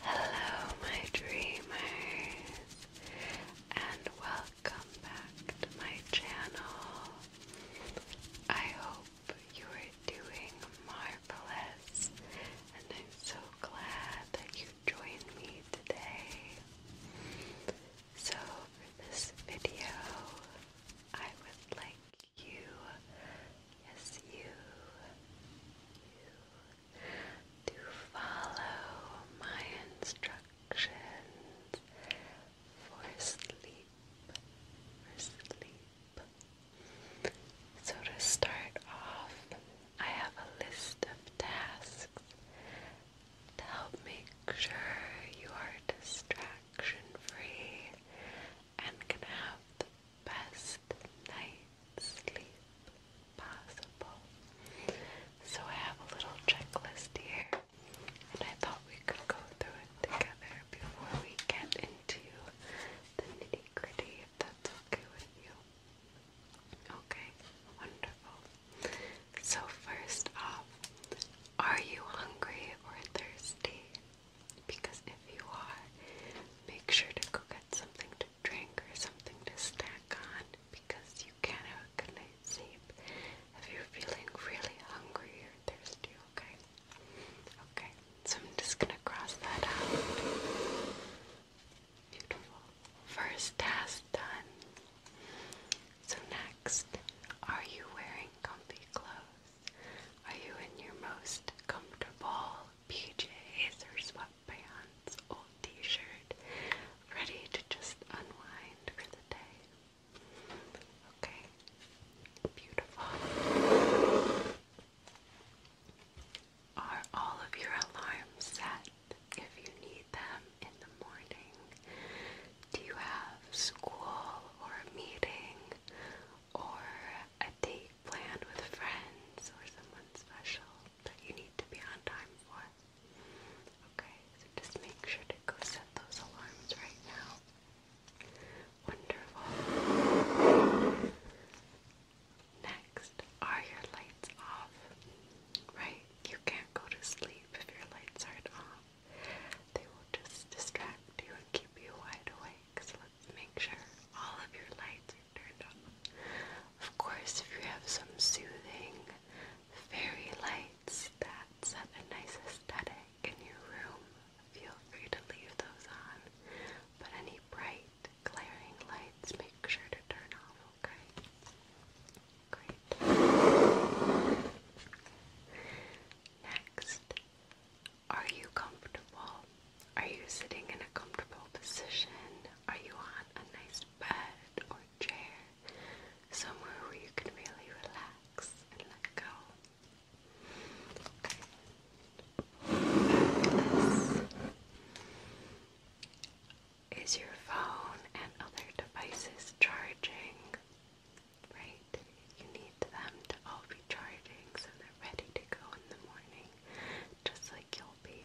Hello, my dreamers, and welcome back to my channel. I hope you are doing marvelous, and I'm so glad that you joined me today. So, this video, I would like you. Yes, you. You. To follow my instructions for sleep. For sleep. So, to start off, I have a list of tasks to help make sure you are distraction free and can have best night's sleep possible. So I have a little checklist here, and I thought we could go through it together before we get into the nitty gritty, if that's okay with you. Okay, wonderful. So, first off, are you hungry or thirsty? Because if you are, make sure to go get something to drink or something to snack on because you can't have sleep if you're feeling really hungry or thirsty, okay? Okay, so I'm just gonna cross that out. Beautiful. First task done. So next, are you wearing comfy clothes? Are you in your most comfortable PJs or sweatpants, old t-shirt, ready to just unwind for the day? Okay, beautiful. Are all of your alarms set if you need them in the morning? Do you have school or a meeting or a date planned with friends or someone special that you need to be on time for. Okay, so just make sure to go set those alarms right now. Wonderful. Next, are your lights off? Right? You can't go to sleep if your lights aren't off. They will just distract you and keep you wide awake, make sure all of your lights are turned off. Of course, if you have some soothing fairy lights that set a nice aesthetic in your room, feel free to leave those on. But any bright, glaring lights, make sure to turn off, okay? Great. Next, are you comfortable? Are you sitting in a comfortable position? Are you on a nice bed or chair? Somewhere where you can really relax and let go. Okay. Is your phone and other devices charging? Right? You need them to all be charging so they're ready to go in the morning, just like you'll be.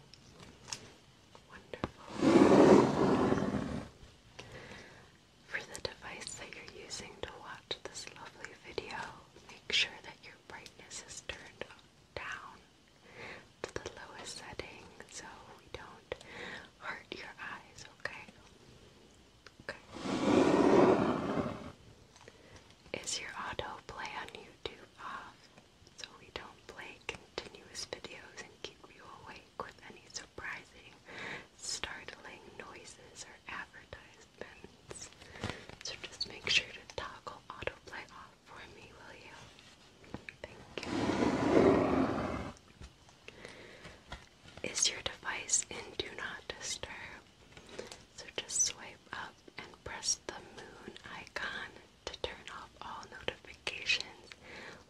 For the device that you're using to watch this lovely video, make sure that your brightness is turned down to the lowest setting so we don't hurt your eyes, okay? Is your autoplay on YouTube off so we don't play continuous videos and keep you awake with any surprising, startling noises or advertisements? So just make sure to toggle autoplay off for me, will you? Thank you. Is your device in Do Not Disturb? So just swipe up and press the moon icon to turn off all notifications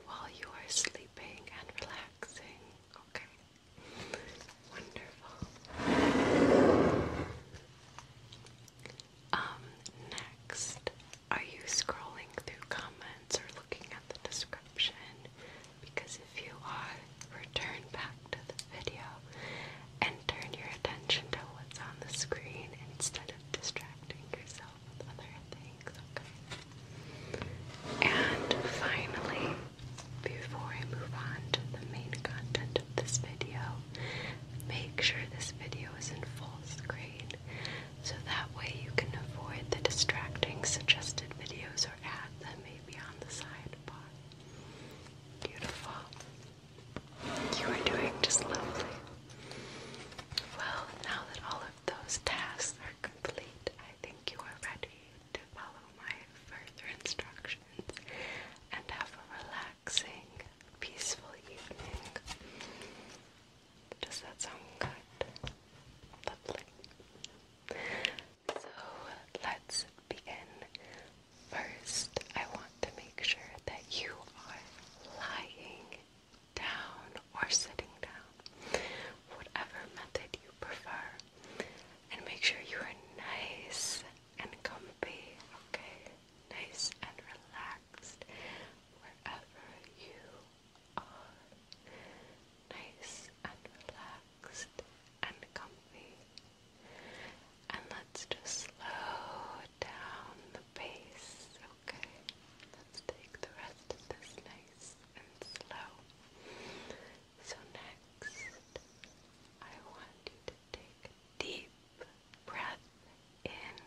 while you are sleeping and relaxing. Okay. Wonderful. Um, next, are you scrolling through comments or looking at the description? Because if you are, return back to the video and turn your attention to what's on the screen instead of distracting yourself with other things, okay? And finally, before I move on to the main content of this video, make sure this video is in full screen so that way you can avoid the distracting suggested videos or ads that may be on the side sidebar. Beautiful. You are doing just lovely. Well, now that all of those tasks are complete, I think you are ready to follow my further instructions and have a relaxing, peaceful evening. Does that sound good? Lovely. So let's begin. First, I want to make sure that you are lying down or sitting down, whatever method you prefer, and make sure you are nice and comfy, okay? Nice and relaxed wherever you are. Nice and relaxed and comfy and let's just slow down the pace, okay? Let's take the rest of this nice and slow. So, next, I want you to take deep breath in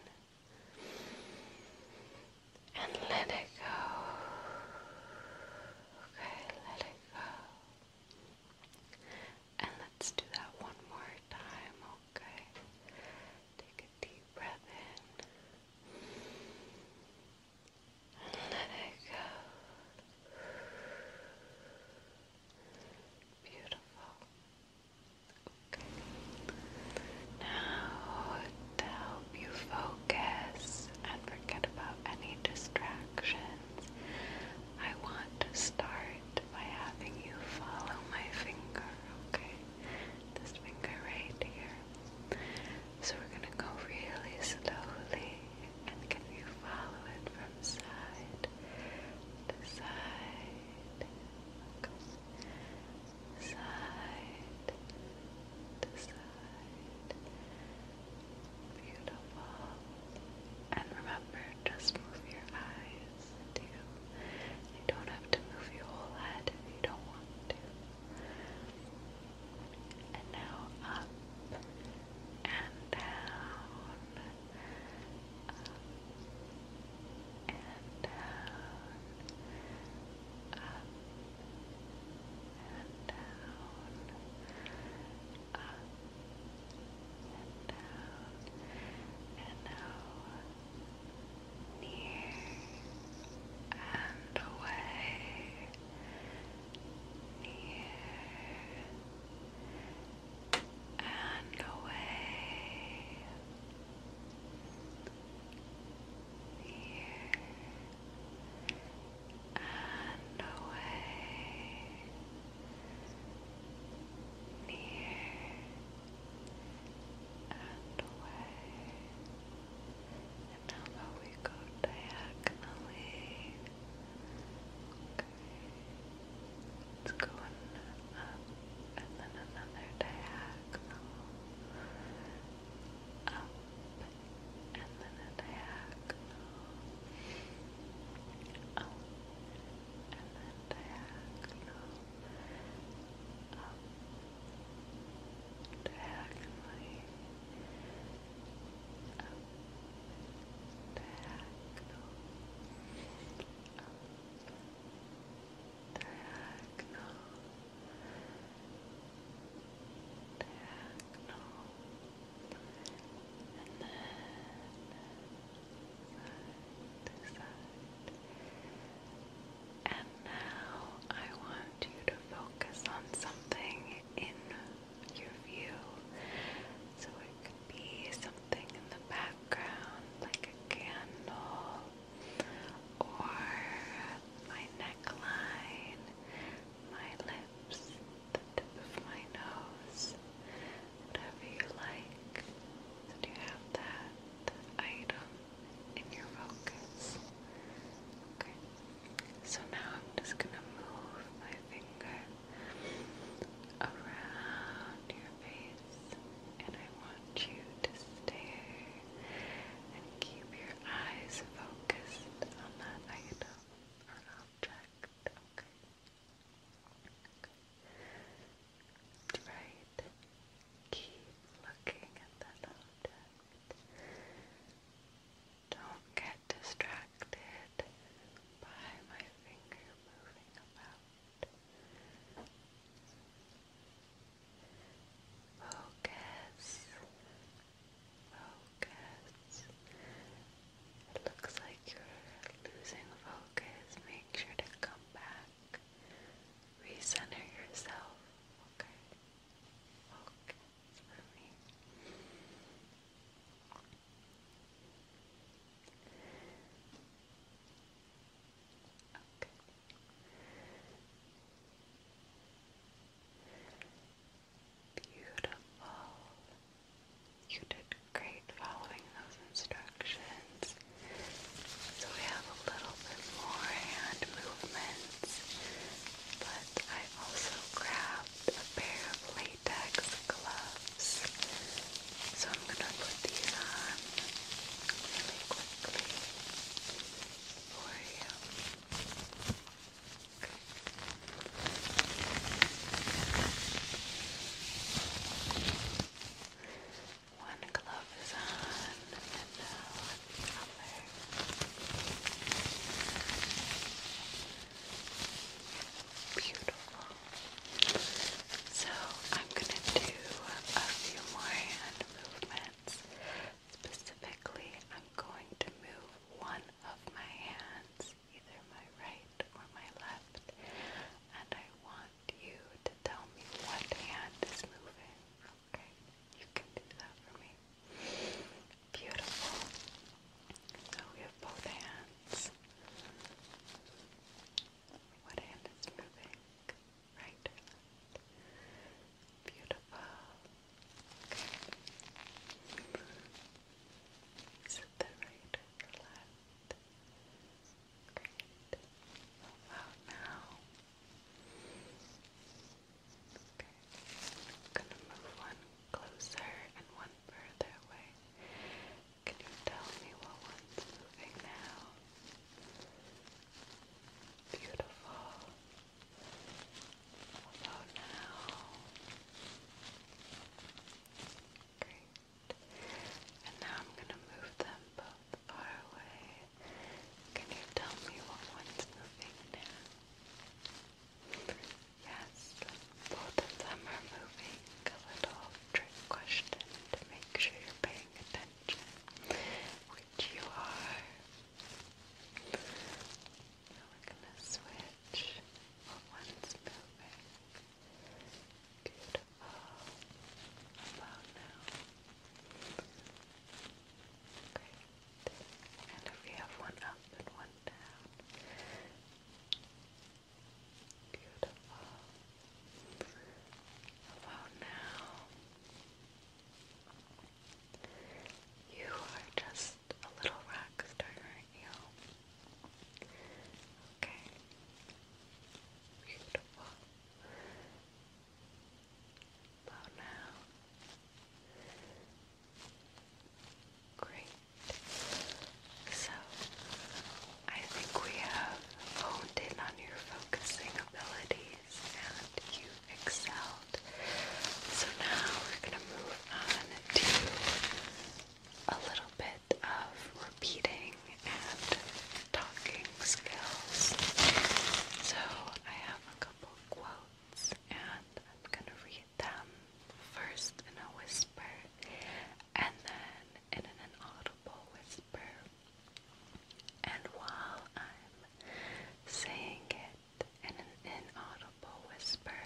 and let it go. Okay, let it go. And let's do that one more time, okay? Take a deep breath in. let it go. Beautiful. Okay. Now, to help you focus and forget about any distractions, I want to start by having you follow my finger, okay? This finger right here. So we're gonna go really slowly and can you follow it from side to side? Side to side. Side Beautiful. And remember, just move your eyes You don't have to move your whole head if you don't want to. And now up and down. Up and down. Up and down. Up and out, and out, near and away, near and away. Near and away near and away and how we go diagonally okay let's go on up and then another diagonal up and then a diagonal Oh, and diagonal diagonal diagonal diagonal and then side to And now I want you to focus on something in your view. So it could be something in the background, like a candle or my neckline, my lips, the tip of my nose, whatever you like. do you have that item in your focus? Okay. So now I'm just gonna move my finger around your face, and I want you to stare and keep your eyes focused on that item or object. Okay. That's right. Keep looking at that object. Don't get distracted by my finger moving about. Focus. It looks like you're losing focus. Make sure to come back. Recenter yourself. Okay. Okay. Beautiful. You did great following those instructions. So we have a little bit more hand movements, but I also grabbed a pair of latex gloves. So I'm going to put these on quickly for you. One glove is on, and the other. Beautiful. So I'm gonna do a few more hand movements. Specifically, I'm going to move one of my hands either my right or my left, and I want you to tell me what hand is moving. Okay, you can do that for me. Beautiful. So we have both hands. What hand is moving? Right Beautiful. Okay. Is it the right or the left? Great. How now? Okay. I'm gonna move one closer and one further away. Can you tell me what one's moving now? Beautiful. Hello now. Great. And now I'm going to move them both far away. Can you tell me what one's moving Yes, both of them are moving. A little trick question to make sure you're paying attention, which you are. Now we're going to switch touch of one's building. Beautiful. About now. Great. And if we have one up and one down. Beautiful. About now. You are just a little rock star feel. Okay. Beautiful. About now. Great. So, I think we have honed in on your focusing abilities and you excelled. So now we're going to move on to a little bit of repeating and talking skills. So I have a couple quotes and I'm gonna read them first in a whisper and then in an audible whisper. And while I'm saying it in an inaudible whisper,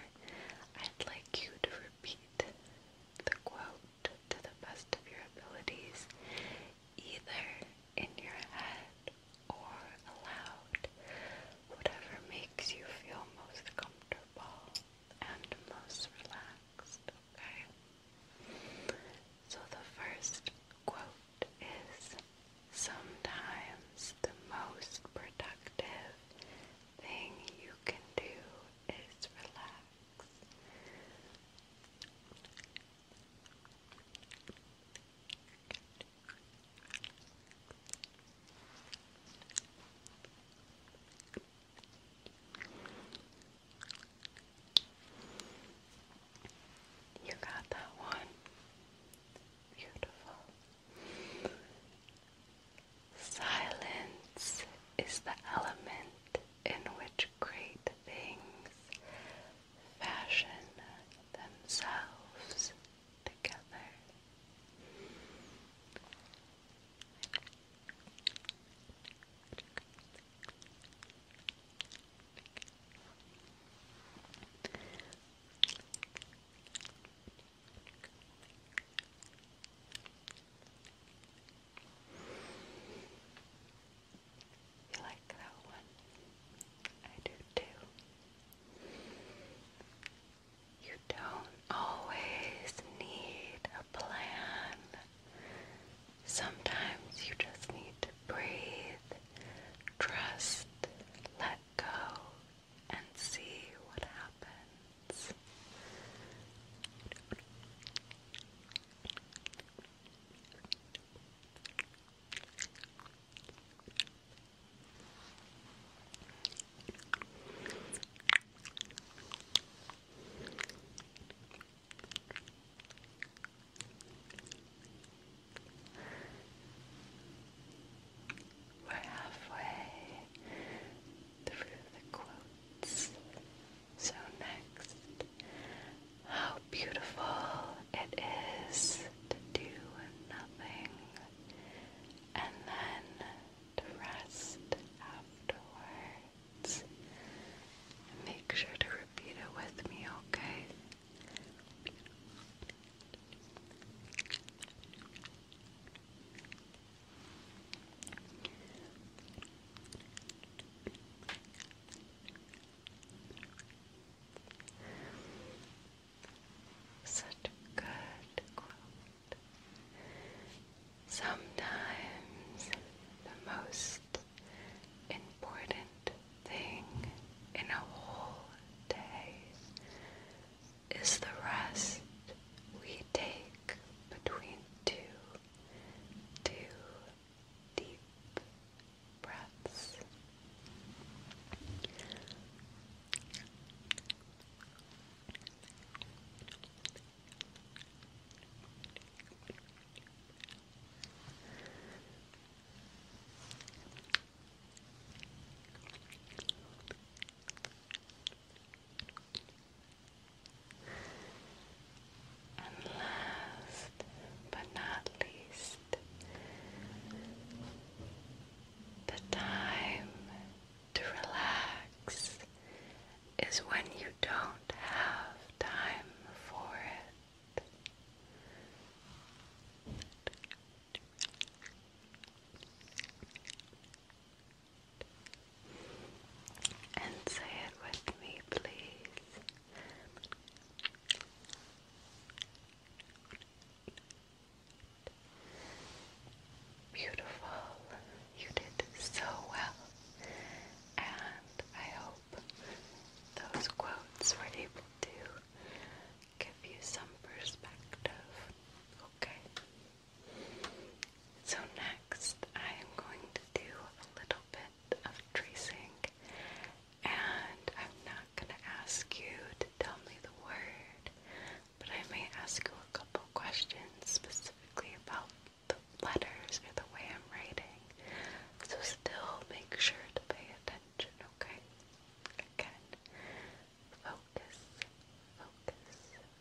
I'd like you to repeat the quote to the best of your abilities, either in your head or aloud, whatever makes you feel most comfortable and most relaxed, okay? So the first quote is, sometimes the most productive thing you can do is relax. You got that one. Beautiful. Silence is the element in which great things fashion themselves together. You like that one? I do too. You don't always need a plan. Sometimes you just need to breathe, trust, let go, and see what happens. We're halfway through the quotes. So, next, how beautiful it is to do nothing and then to rest afterwards. Make sure to repeat it with me, okay? Such a good quote. Sometimes the most important thing in a whole day is the rest we take between two, two deep breaths. And last but not least, the time to relax is when you don't have time for it. And say it with me, please. Beautiful. You did so well. And I hope those quotes were able to give you some perspective. Okay. So next I am going to do a little bit of tracing and I'm not going to ask you to tell me the word, but I may ask you a couple questions specifically about the letters or the way I'm writing. So still make sure to pay attention, okay? Again, focus, focus,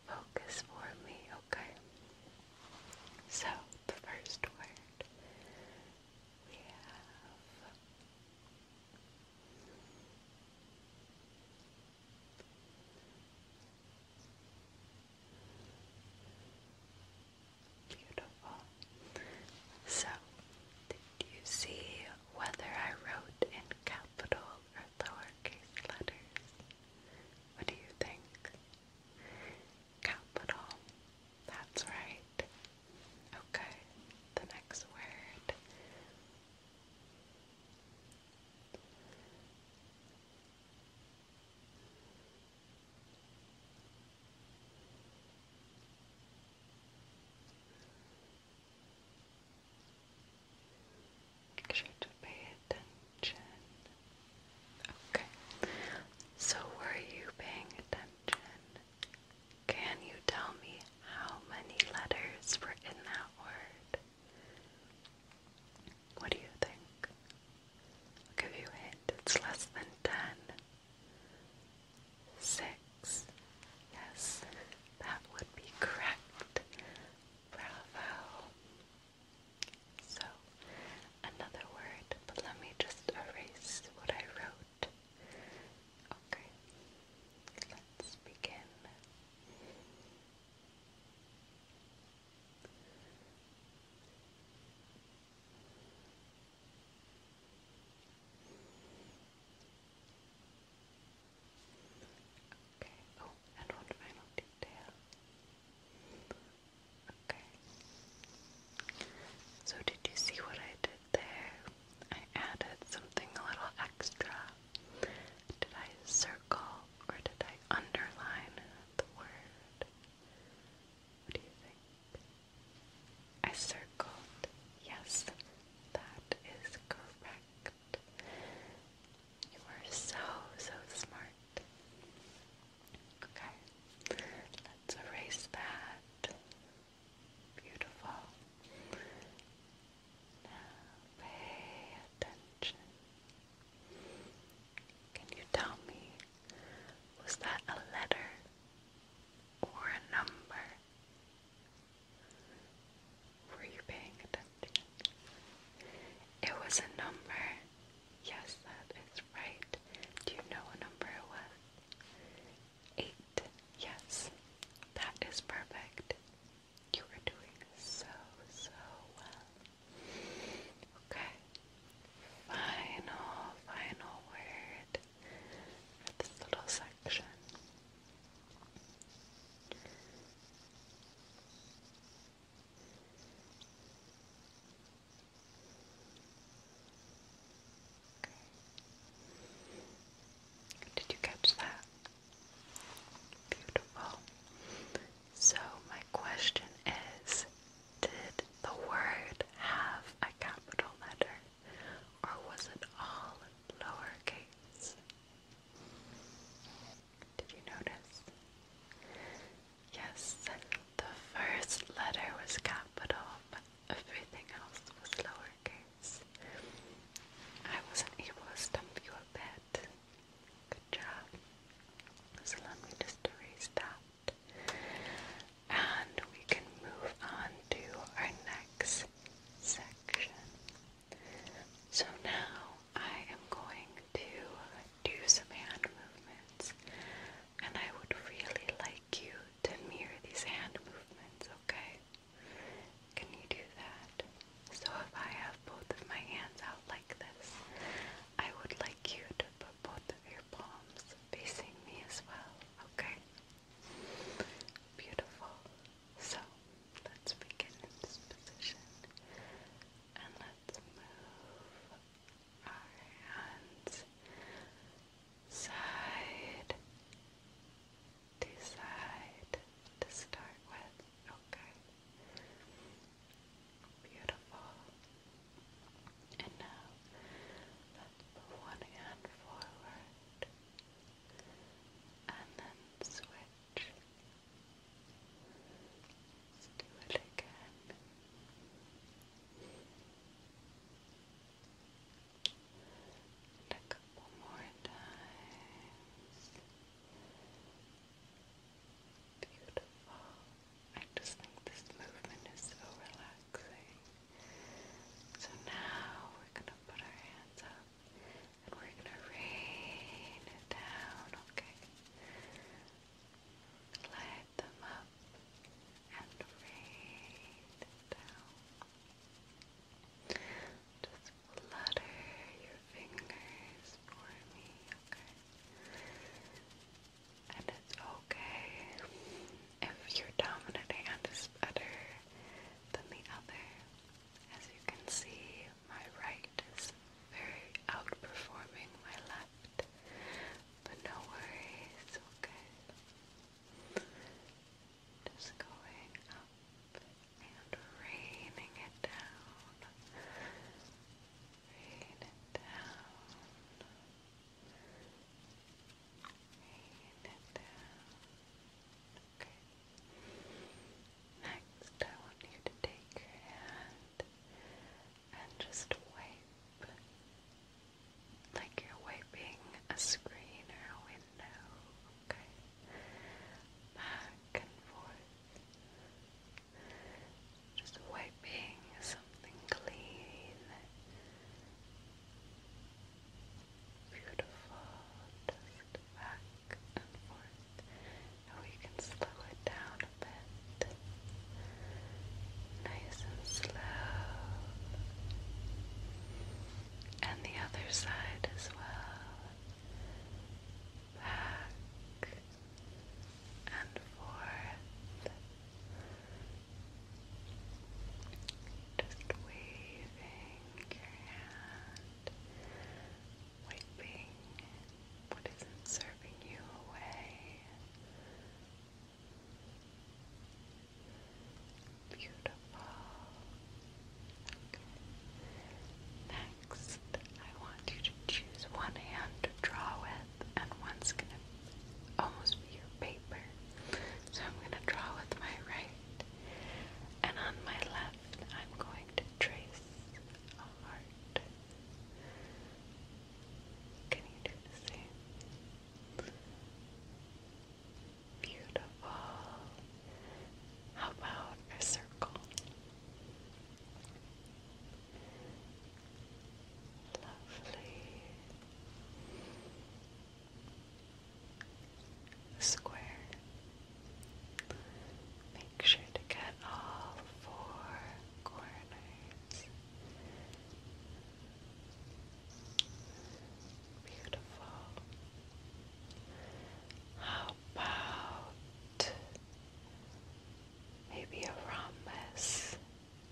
focus for me, okay? So, the first word we have beautiful. So, did you see whether I wrote in capital or lowercase letters? What do you think? Capital. That's right. Okay, the next word. Make sure to pay attention. Okay. So were you paying attention? Can you tell me how many letters were in that word? What do you think? I'll give you a hint. It's less than ten. Six. Yes, that would be correct. Bravo. So, another word, but let me just erase what I wrote. Okay, let's begin. Okay, oh, and one final detail. Okay. So, did you see what I did there? I added something a little extra. Did I circle or did I underline the word? What do you think? I circled. Yes, that is correct. You are so, so smart. Okay, let's erase that. Beautiful. Now pay attention. Can you tell me, was that a letter or a number? Were you paying attention? It was a number. Yes, that is right. Do you know what number it was? Eight. Yes, that is perfect. You are doing so, so well. Okay. Final, final word for this little section. Did you catch that? Beautiful. So, my question is Did the word have a capital letter or was it all lowercase? Did you notice? Yes, the first letter was capital, but everything else was lowercase. I wasn't able to stump you a bit. Good job. So let me just erase that. And we can move on to our next section. So now I am going to do some hand movements, and I would really like you to mirror these hand movements, okay? Can you do that? So if I have both of my hands out like this, I would like you to put both of your palms facing me as well, okay? Beautiful. So Let's begin in this position and let's move our hands side to side to start with. Okay. Beautiful. And now let's put one hand forward and then switch Let's do it again. And a couple more times. Beautiful. I just think this movement is so relaxing. So now we're going to put our hands up and we're gonna rain it down, okay? Light them up and rain it down. Just flutter your fingers for me, okay? And it's okay if your dominant hand is better than the other. As you can see, my right is very outperforming my left, but no worries, okay? Just going up and raining it down. Rain it down. Rain it down. Okay. Next, I want you to take your hand and just wipe like you're wiping a screen or a window, okay? Back and forth. Just wiping something clean. Beautiful, back and forth. And we can slow it down a bit. Nice and slow. And the other side as well. Back and forth. Just waving your hand, wiping what isn't serving you away. Beautiful. Next, I want you to choose one hand to draw with, and one's going to almost be your paper. So I'm going to draw with my right, and on my left, I'm going to trace a heart. Can you do the same? Beautiful. How about a circle? Lovely. Square. Make sure to cut all four corners. Beautiful. How about maybe a rhombus,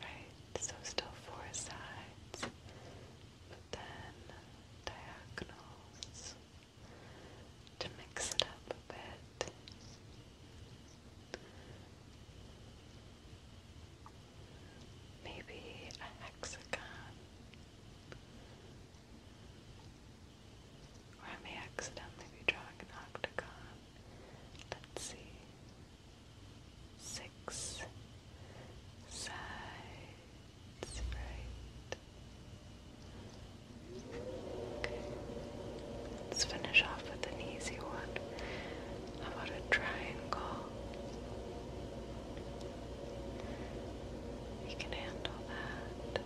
right? So still four sides, but then diagonals to mix it up a bit. Maybe a hexagon. Or I may accidentally be drawing an octagon. Let's see. Six sides, right? Let's finish off with an easy one. How about a triangle? You can handle that.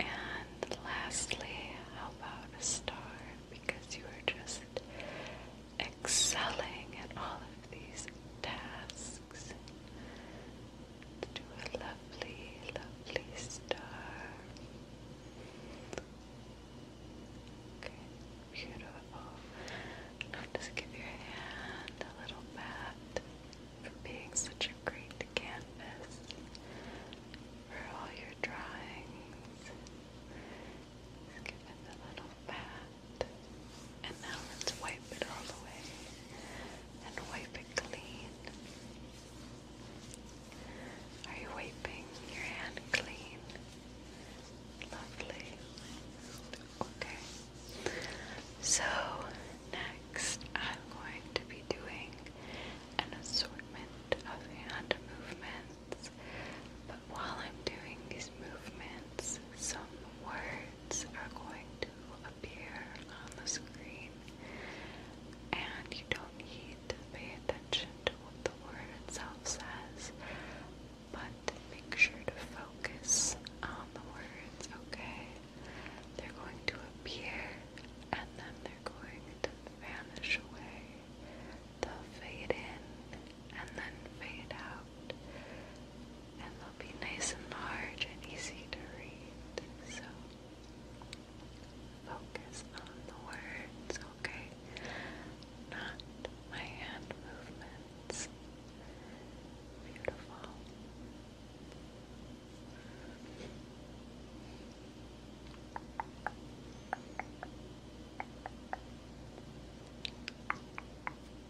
And lastly, how about a star? Because you are just excelling at all of these tasks to a lovely, lovely star. Okay, beautiful. just give your hand a little pat for being such a great canvas for all your drawings. give it a little pat. And now let's wipe it all away and wipe it clean. Are you wiping your hand clean? Lovely. Okay. So next I'm going to be doing an assortment of hand movements. But while I'm doing these movements, some words are going to appear on the screen, and you don't need to pay attention to what the word itself says, but make sure to focus on the words, okay? They're going to appear and then they're going to vanish away. They'll fade in and then fade out and they'll be nice and large and easy to read. So focus on the words, okay? Not my hand movements. Beautiful.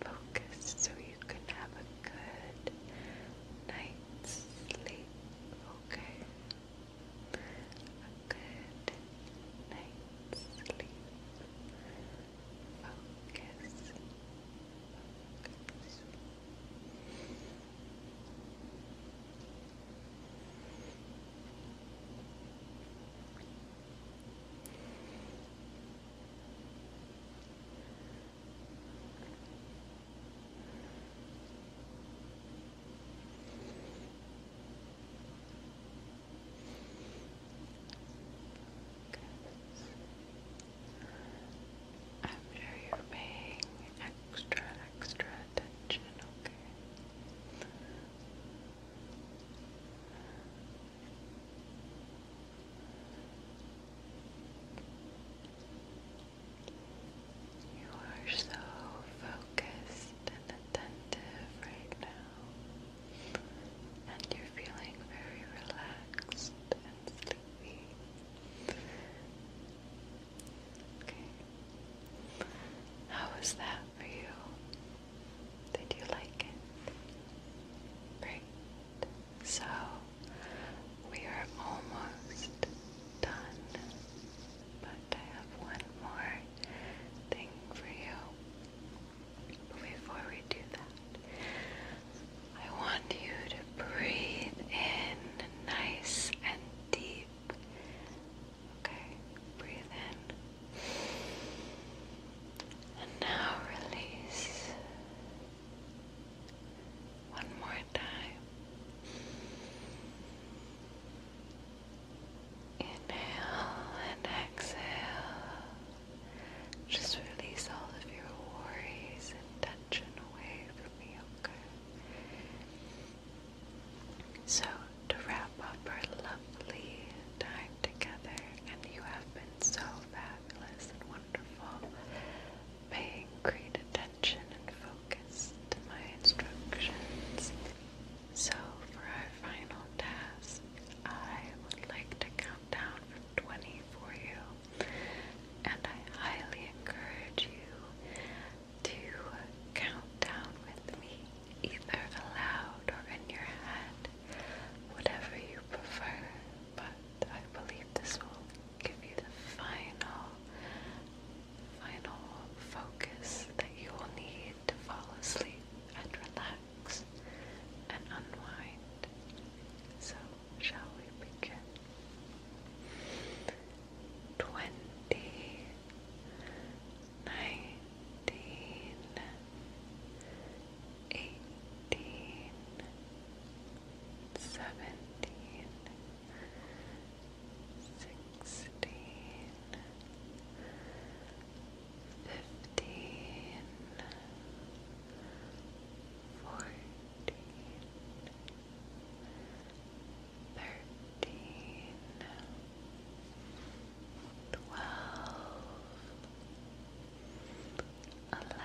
focused so you can have a good night's sleep, okay? A good night's sleep. Focus. Focus. After you're paying extra, extra attention, okay? You are so focused and attentive right now, and you're feeling very relaxed and sleepy. Okay. How was that for you? Did you like it? Great. So, we are almost done, but I have one more thing for you. before we do that, I want you to breathe in nice and deep. Okay, breathe in. And now release. One more time. Inhale and exhale. Just release all of your worries and tension away from you, okay? So, to wrap up our lovely time together, and you have been so fabulous wonderful. Paying great attention and focus to my instructions. So, for our final task, I would like to count down from 20 for you, and I highly encourage you to count down with me, either aloud or in your head, whatever you prefer. But I believe this will give you the final, final focus that you will need to fall asleep and relax and unwind. So, shall we begin? Twenty, nineteen, eighteen seventeen, sixteen, fifteen, fourteen, thirteen, twelve, eleven. 10 9 8 7 6 5 4 3 2 1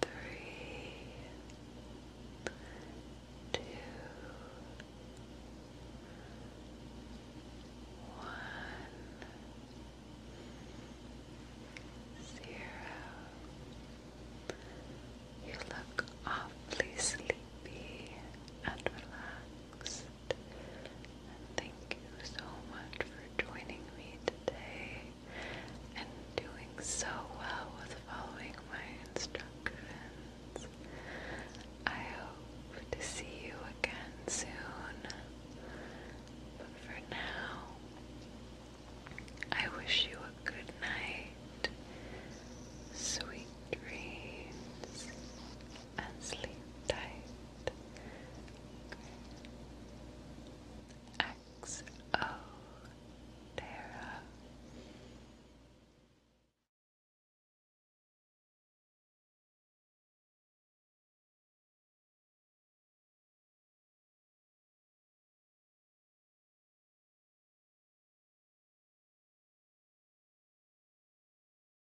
three, two, one, zero. You look awfully sleepy and relaxed thank you so much for joining me today and doing so well with following my instructions. I hope to see you again soon. But for now, I wish you a good night, sweet dreams, and sleep tight. XO Terra.